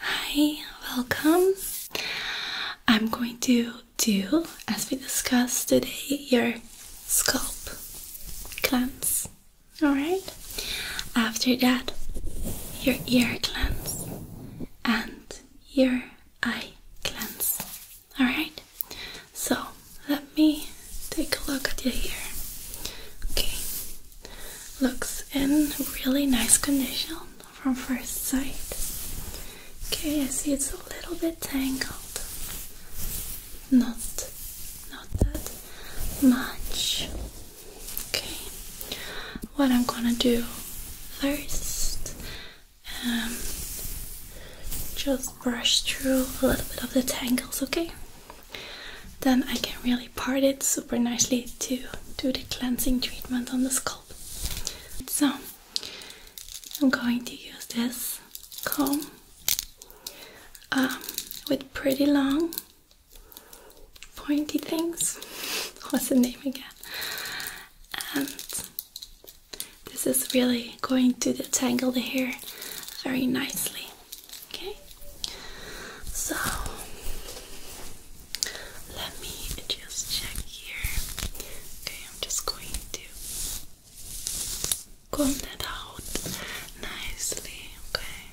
Hi, welcome. I'm going to do, as we discussed today, your scalp cleanse. Alright? After that, your ear cleanse and your eye cleanse. Alright? So, let me take a look at your ear. Okay, Looks in really nice condition from first sight. Okay, I see it's a little bit tangled. Not not that much. Okay. What I'm gonna do first um, just brush through a little bit of the tangles, okay? Then I can really really parted super nicely to do the cleansing treatment on the scalp. So I'm going to use this comb um, with pretty long pointy things. What's the name again? And this is really going to detangle the hair very nicely. Okay, so let me just check here. Okay, I'm just going to comb that out nicely, okay?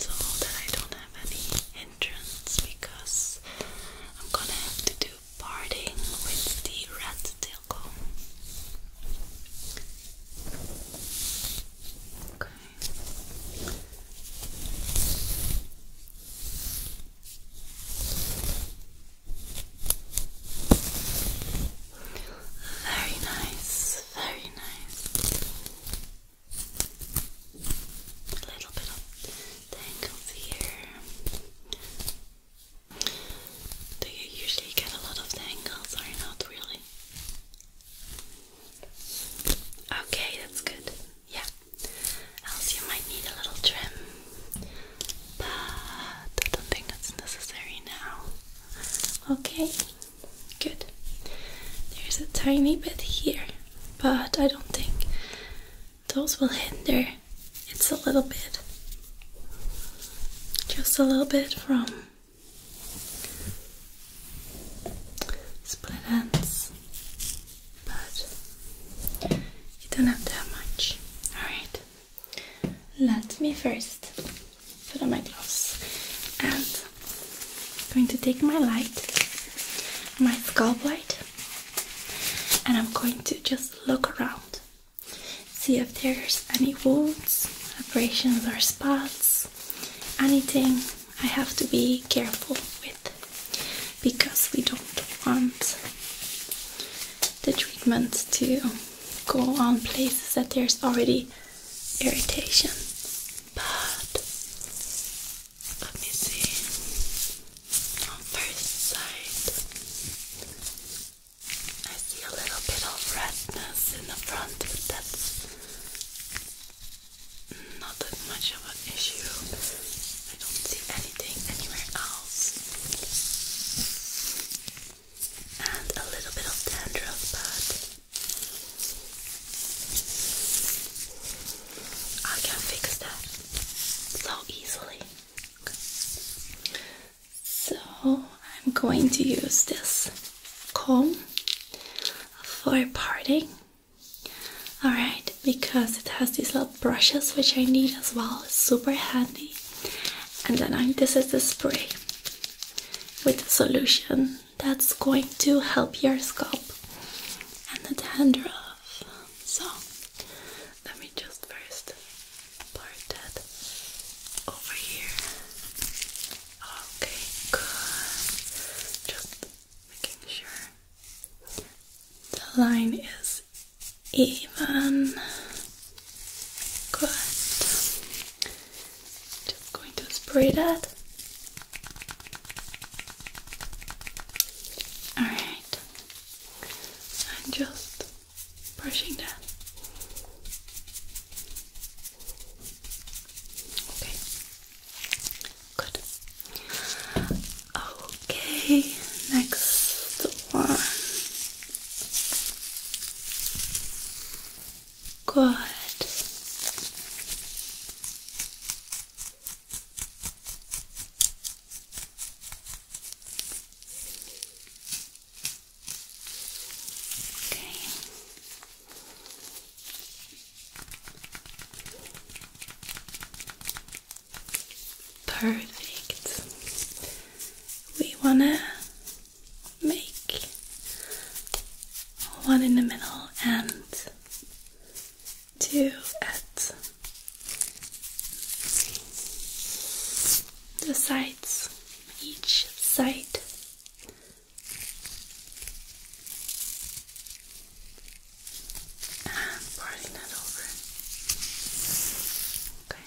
So that I don't have any entrance because I'm gonna have to do parting with the rat tail comb. Okay. Very nice, very nice. A little bit of tangles here. Do you usually get a lot of tangles or not really? Okay, that's good. Yeah. Else you might need a little trim. But I don't think that's necessary now. Okay, good. There's a tiny bit here, but I don't think those will hinder. It's a little bit. Just a little bit from split ends, but you don't have to much. Alright, let me first put on my gloves and I'm going to take my light, my scalp light, and I'm going to just look around, see if there's any wounds, abrasions, or spots, anything I have to be careful with because we don't want the treatment to go on places that there's already irritation. But let me see on first side. I see a little bit of redness in the front, but that's not that much of an issue. I don't see anything anywhere else. And a little bit of dandruff, but I can fix that so easily. So I'm going to use this comb for parting Alright, because it has these little brushes which I need as well, super handy. And then I, this is the spray with the solution that's going to help your scalp and the dandruff. So let me just first part that over here. Okay, good making sure the line is even. Good. Just going to spray that. Alright. I'm just brushing that. Okay. Good. Okay, next one. Good. Okay. Perfect. We wanna make one in the middle and two at the sides, each side. And parting that over. Okay.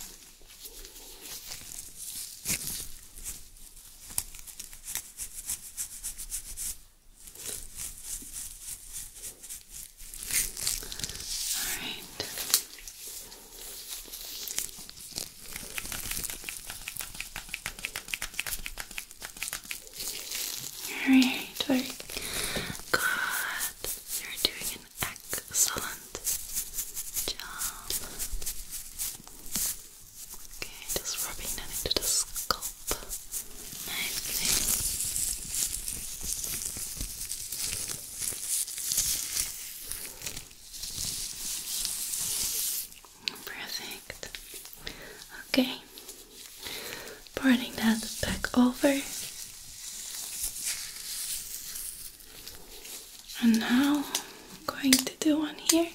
All right. Alright, good. You're doing an excellent job. Okay, just rubbing that into the scalp nicely. Perfect. Okay. Parting that back over. And now I'm going to do one here.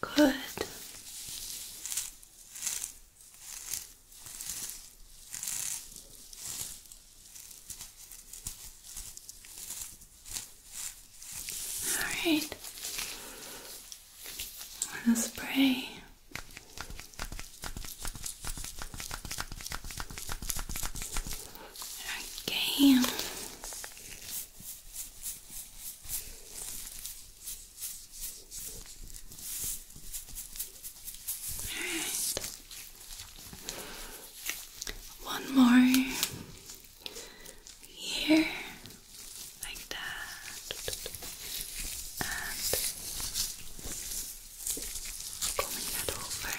Good. Alright, I'm gonna spray all right. One more here, like that, and combing that over.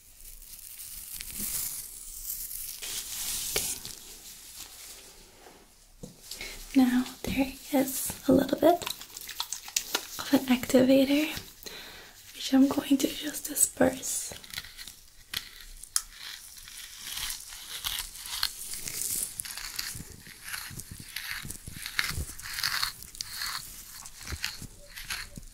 Now there is a little bit of an activator which I'm going to just disperse.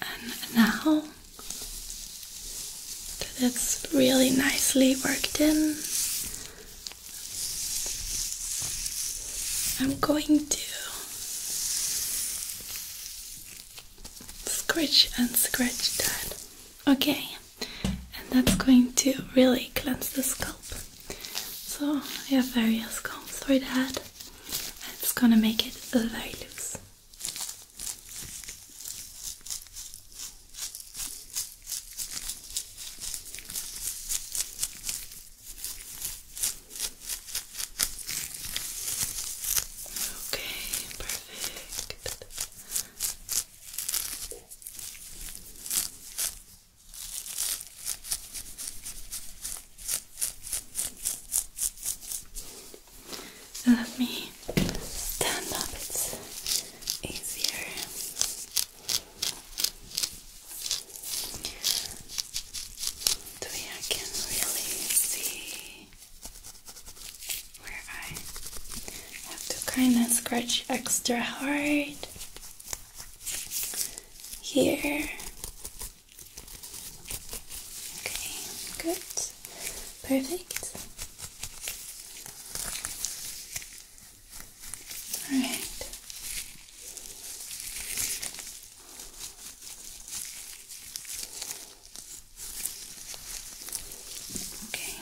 And now that it's really nicely worked in, I'm going to scratch and scratch that. Okay, and that's going to really cleanse the scalp. So I have various combs for that. I'm gonna make it very loose. Okay, perfect. So let me stand up, it's easier. The I can really see where I have to kind of scratch extra hard here Okay, good. Perfect. All right. Okay.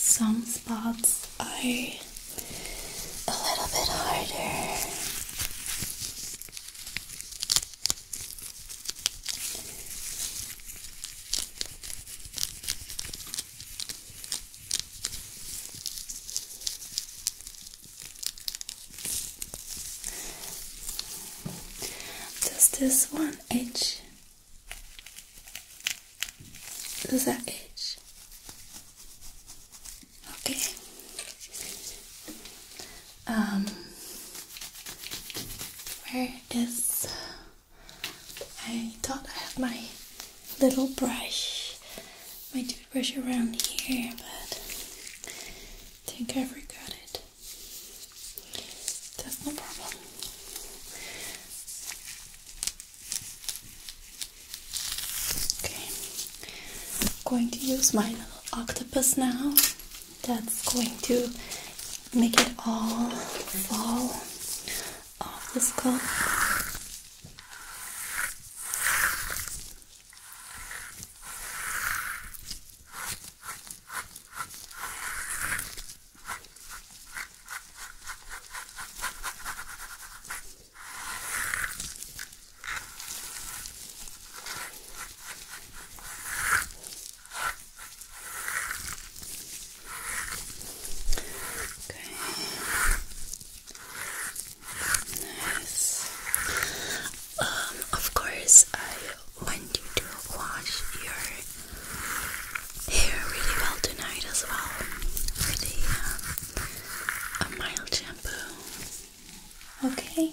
Some spots are a little bit harder. Just this one edge. Does that itch? Okay. Um, where is? I thought I had my little brush, my toothbrush around here, but think I forgot it. That's no problem. Okay, I'm going to use my octopus now. That's going to make it all fall off the skull. Okay. Nice. Um, of course, I want you to wash your hair really well tonight as well for um, a mild shampoo. Okay.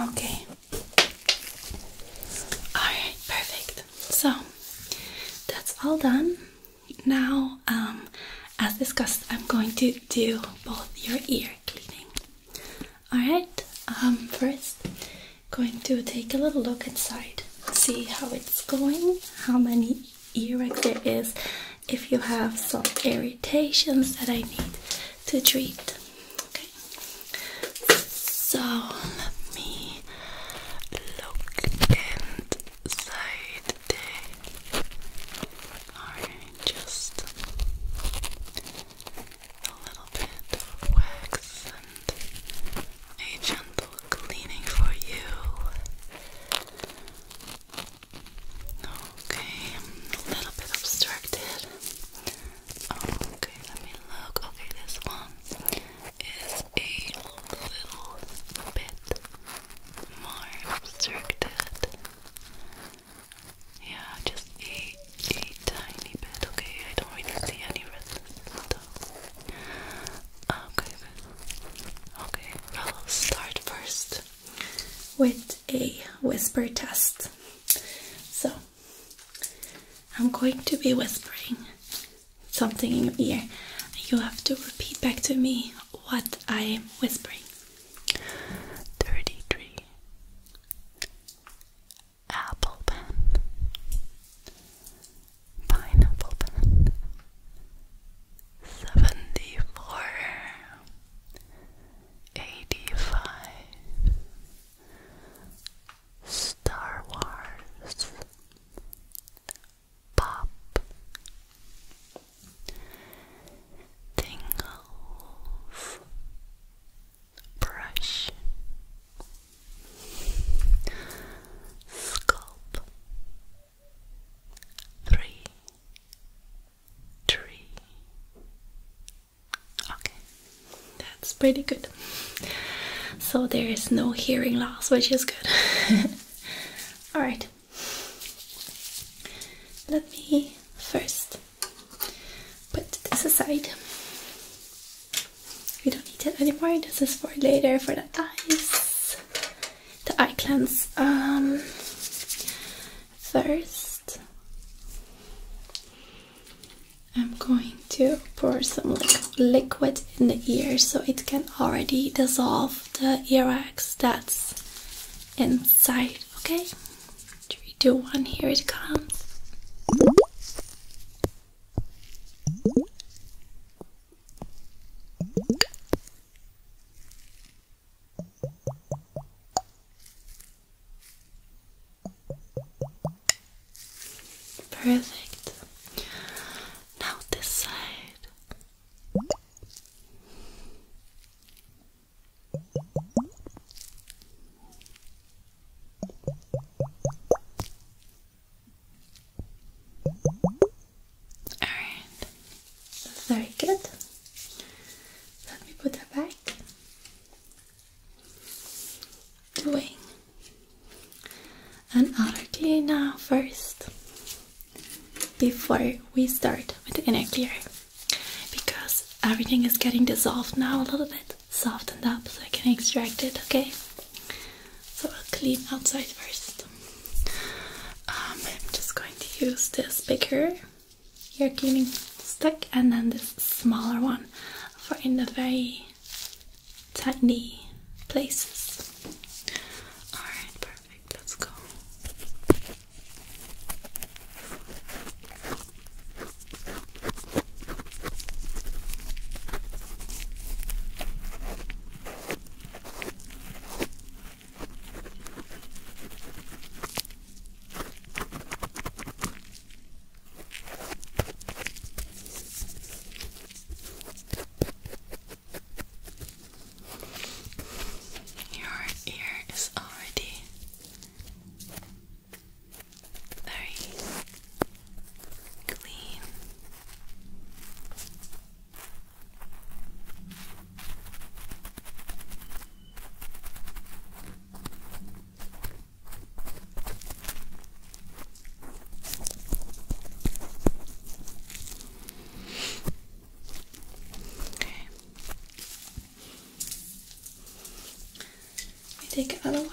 Okay. Alright, perfect. So that's all done. Now, um, as discussed, I'm going to do both your ear cleaning. Alright, um, first, going to take a little look inside, see how it's going, how many earache there is if you have some irritations that I need to treat. Okay, so let me look inside there. Alright, just a little bit of wax and a gentle cleaning for you. Okay, I'm a little bit obstructed. Okay, let me look. Okay, this one is a little bit more obstructed. Yeah, just a, a tiny bit. Okay, I don't really see any red. Okay, Okay, I'll start first with a whisper test. So, I'm going to be whispering something in your ear. You have to repeat back to me what I'm whispering. 33 Apple pen pineapple pen. 74 85 Star Wars Pop Tingles Brush Sculpt three, three. Okay, that's pretty good. So there is no hearing loss, which is good. All right, let me first put this aside. We don't need it anymore. This is for later for the dice the eye cleanse. Um, first, I'm going to pour some like, liquid in the ear so it can already dissolve the ear wax that's inside. Okay, three, two, one. Here it comes. Perfect. Now this side. Alright. Very good. Let me put that back. Doing an outer now first before we start with the inner clear because everything is getting dissolved now a little bit softened up so I can extract it okay so I'll clean outside first. Um, I'm just going to use this bigger ear cleaning stick and then this smaller one for in the very tiny places. Alright, perfect, let's go. Your ear is already very clean. Okay. We take another one.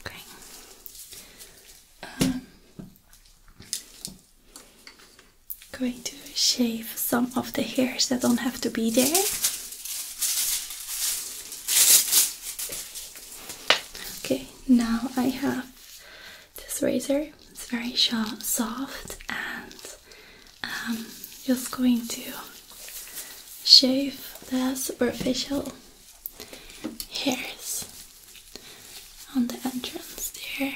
Okay. Um, going to shave some of the hairs that don't have to be there. Okay, now I have this razor. It's very soft and um, just going to shave the superficial hairs on the entrance there.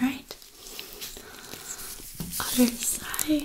Right. Other side.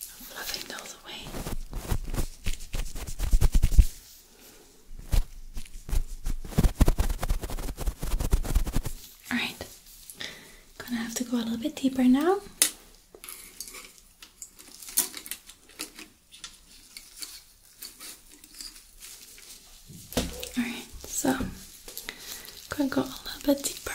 fluffing all the way. Alright, gonna have to go a little bit deeper now. Alright, so gonna go a little bit deeper now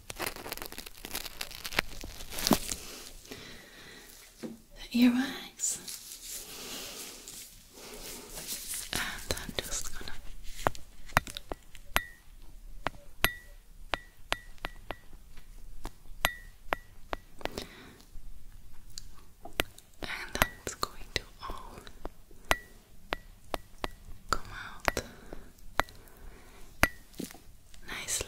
the earwax and I'm just gonna and that's going to all come out nicely.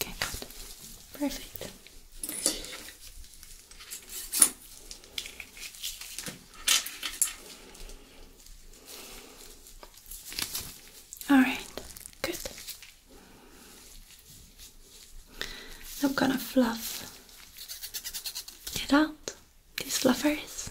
Okay, Perfect. All right, good. I'm gonna fluff it out, these fluffers.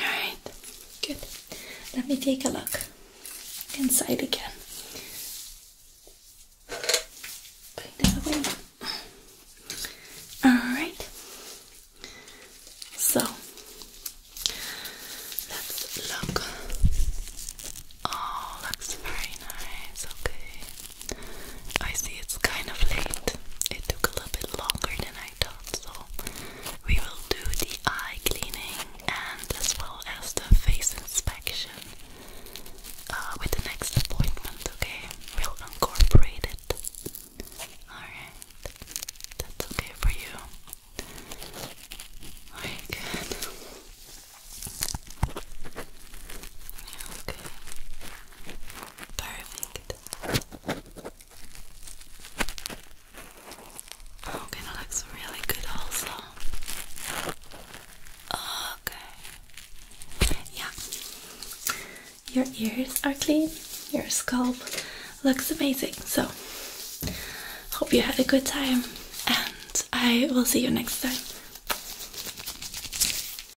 Alright, good. Let me take a look inside again. Alright. So let's look. Oh, looks very nice, okay. I see it's kind of late. It took a little bit longer than I thought, so we will do the eye cleaning and as well as the face inspection uh, with the next appointment, okay? We'll incorporate it. Alright. That's okay for you. Alright, good. Okay. Perfect. Oh, okay, that looks really good also. Okay. Yeah. Your ears are clean. Your scalp looks amazing. So, hope you had a good time and I will see you next time.